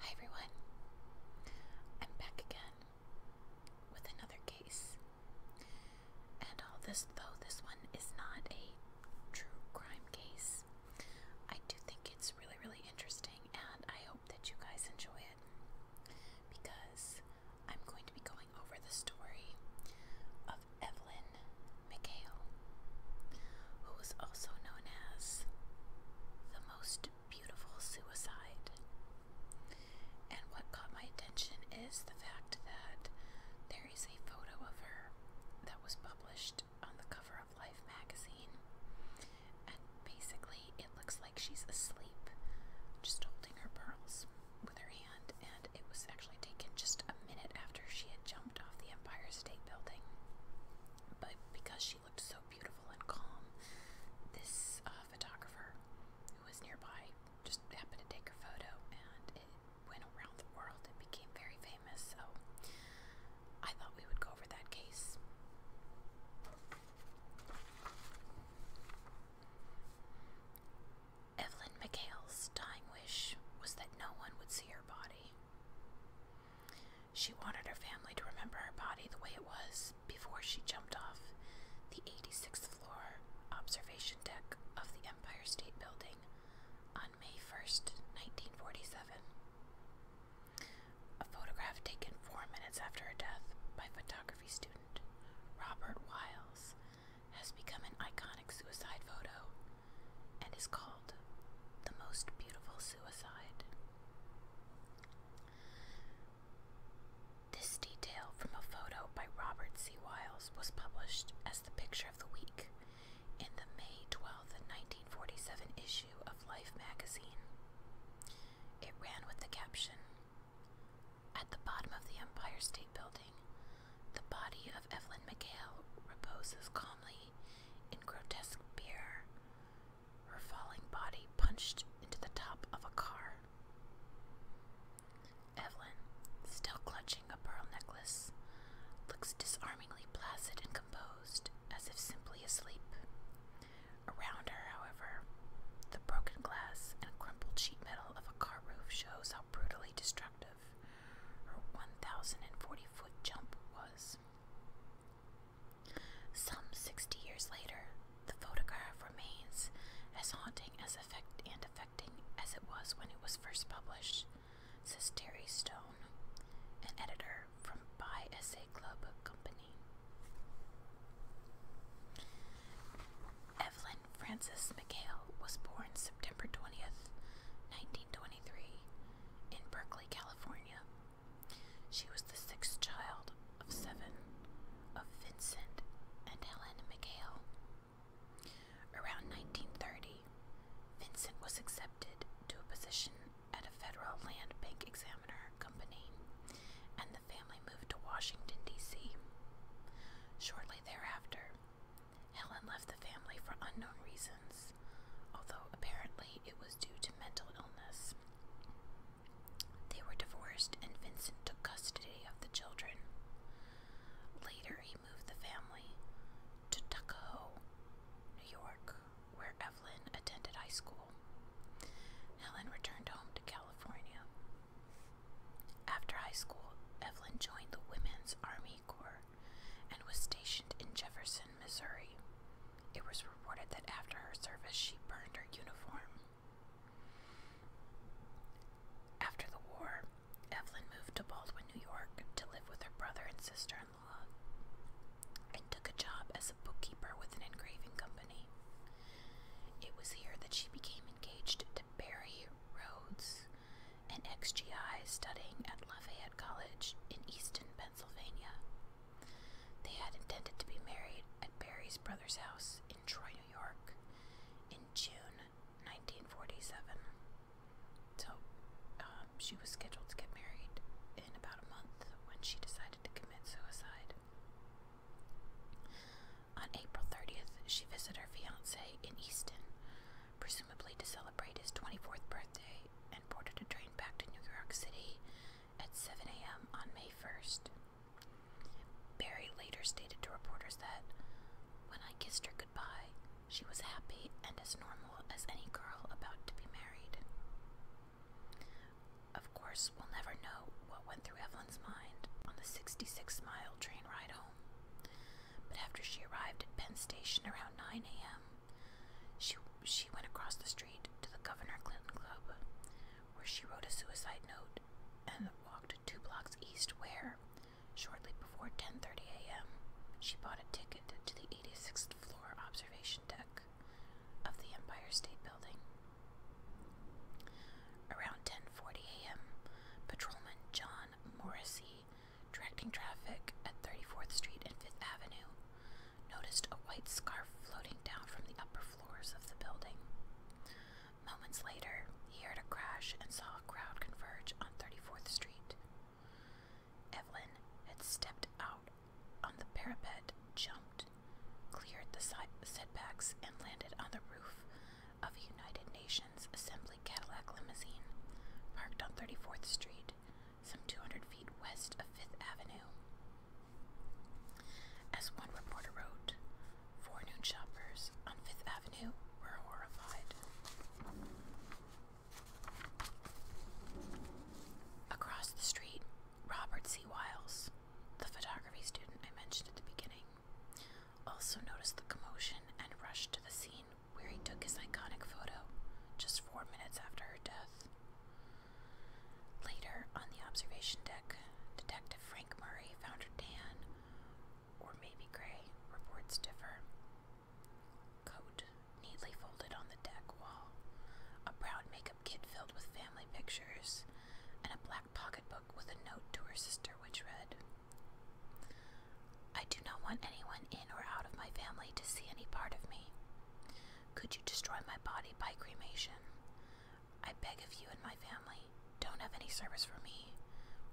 Hi everyone. I'm back again with another case. And all this though this one is not a true crime case. I do think it's really really interesting and I hope that you guys enjoy it because I'm going to be going over the story of Evelyn McHale, who was also known as the most beautiful suicide. And what caught my attention is the fact that there is a photo of her that was published on the cover of Life magazine and basically it looks like she's asleep, just holding her pearls with her hand, and it was actually taken just a minute after she had jumped off the Empire State Building. But because she looked so beautiful and calm, this uh, photographer who was nearby just happened to take a photo and it went around the world and became very famous. So I thought we would go over that case. Evelyn McHale's dying wish was that no one would see her body. She wanted her family to remember her body the way it was before she jumped off the 86th floor observation deck of the Empire State Building on May 1st, 1947. A photograph taken four minutes after her death by photography student Robert Wiles has become an iconic suicide photo and is called the most beautiful suicide. This detail from a photo by Robert C. Wiles was published as the picture of the week in the May 12, 1947 issue of Life magazine. It ran with the caption At the bottom of the Empire State Building, the body of Evelyn McHale reposes calmly in grotesque beer, her falling body punched into the top of a car. Evelyn, still clutching a pearl necklace, looks disarmingly placid and composed, as if simply asleep. Around her, however, the broken glass and crumpled sheet metal of a car roof shows how brutally destructive her 1,040 foot jump was. Some 60 years later, the photograph remains as haunting as affecting as it was when it was first published, says Terry Stone, an editor from By SA Evelyn Frances McHale was born September 20th, 1923, in Berkeley, California. She was the sixth child of seven of Vincent and Helen McHale. Around 1930, Vincent was accepted to a position at a federal land bank examiner company, and the family moved to Washington, D.C. Shortly thereafter, Helen left the family for unknown reasons, although apparently it was due to mental illness. They were divorced, and Vincent took custody of the children. Later, he moved the family to Tuckahoe, New York, where Evelyn attended high school. Helen returned home to California. After high school, Evelyn joined the Women's Army Corps and was stationed in Jefferson, Missouri. It was reported that after her service, she burned her uniform. After the war, Evelyn moved to Baldwin, New York to live with her brother and sister in law and took a job as a bookkeeper with an engraving company. It was here that she became engaged to Barry Rhodes, an XGI studying at Lafayette College in Easton, Pennsylvania. They had intended to be married at Barry's brother's house in Troy, New York, in June 1947. So um, she was scheduled to get married in about a month when she decided to commit suicide. On April 30th, she visited her fiance in Easton, presumably to celebrate his 24th birthday, and boarded a train back to New York City at 7 a.m. on May 1st. Barry later stated to reporters that, when I kissed her goodbye, she was happy and as normal as any girl about to be married. Of course, we'll never know what went through Evelyn's mind on the 66 mile train ride home, but after she arrived at Penn Station around 9 a.m., she, she went across the street to the Governor Clinton Club, where she wrote a suicide note and walked two blocks east, where, Shortly before 10:30 a.m., she bought a ticket to the 86th floor observation deck of the Empire State Building. Around 10:40 a.m., patrolman John Morrissey, directing traffic at 34th Street and 5th Avenue, noticed a white scarf floating down from the upper floors of the building. Moments later, he heard a crash and saw a crowd converge on 34th Street Evelyn had stepped out on the parapet, jumped, cleared the side setbacks, and landed on the roof of a United Nations Assembly Cadillac limousine parked on 34th Street, some 200 feet west of Fifth Avenue. As one reporter wrote, forenoon shoppers on Fifth Avenue were horrified. Across the street, Robert C. Wiles, the photography student I mentioned at the beginning, also noticed the commotion and rushed to the scene where he took his iconic photo just four minutes after her death. Later, on the observation deck, Detective Frank Murray found her tan, or maybe gray, reports differ. Coat neatly folded on the deck wall, a brown makeup kit filled with family pictures, and a black pocketbook with a note to her sister which read, I do not want anyone in or out of my family to see any part of me. Could you destroy my body by cremation? I beg of you and my family, don't have any service for me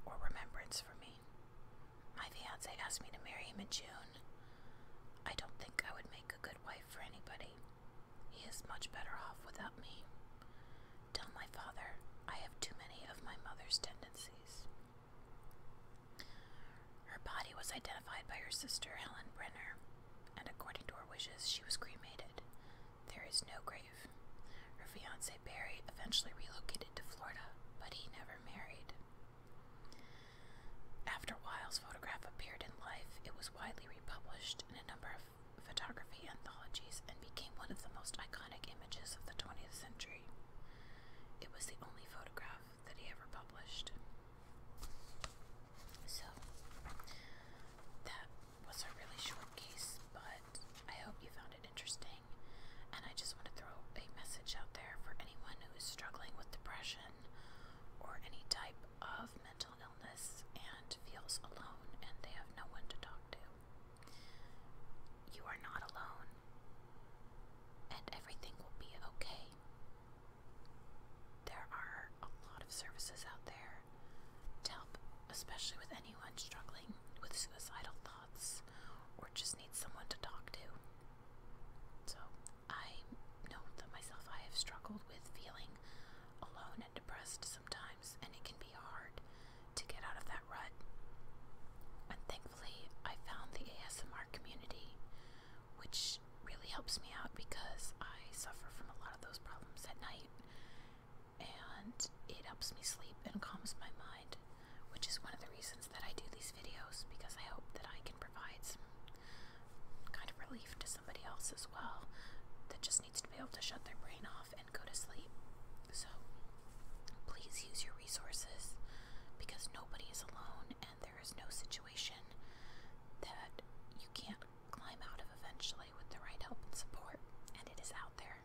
or remembrance for me. My fiance asked me to marry him in June. I don't think I would make a good wife for anybody. He is much better off without me. Tell my father I have too many of my mother's tendencies. Her body was identified by her sister Helen Brenner, and according to her wishes, she was cremated. There is no grave her fiance Barry eventually relocated to Florida, but he never married. After Wiles' photograph appeared in Life, it was widely republished in a number of photography anthologies and became one of the most iconic images of the 20th century. It was the only photograph that he ever published. So, that was a really short case, but I hope you found it interesting. And I just want to throw a message out there for anyone who is struggling with depression or any type of mental illness and feels alone and they have no one to talk to. You are not alone, and everything will be okay. There are a lot of services out there to help especially with anyone struggling with suicidal thoughts or just needs someone to talk to. So, I know that myself, I have struggled with feeling alone and depressed sometimes, and it can be hard to get out of that rut. And thankfully, I found the ASMR community, which really helps me out because I suffer from a lot of those problems at night and it helps me sleep and calms my mind, which is one of the reasons that I do these videos because I hope that I can provide some kind of relief to somebody else as well that just needs to be able to shut their brain off and go to sleep. So please use your resources because nobody is alone and there is no situation that you can't climb out of eventually with the right help and support, and it is out there.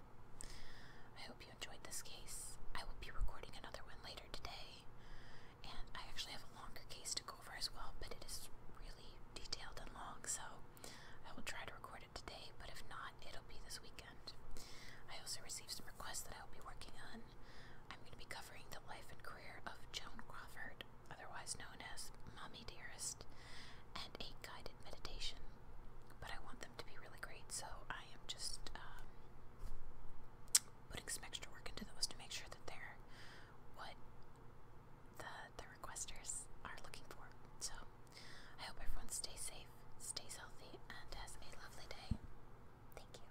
I hope you enjoyed this case. I will be recording another one later today, and I actually have a longer case to go over as well, but it is really detailed and long, so I will try to record it today, but if not, it'll be this weekend. I also received some requests that I will be working on. I'm going to be covering the life and career of Joan Crawford, otherwise known as Mommy Dearest, and a guided meditation. But I want them to be really great, so I am just um, putting some extra work into those to make sure that they're what the, the requesters are looking for. So I hope everyone stays safe, stays healthy, and has a lovely day. Thank you.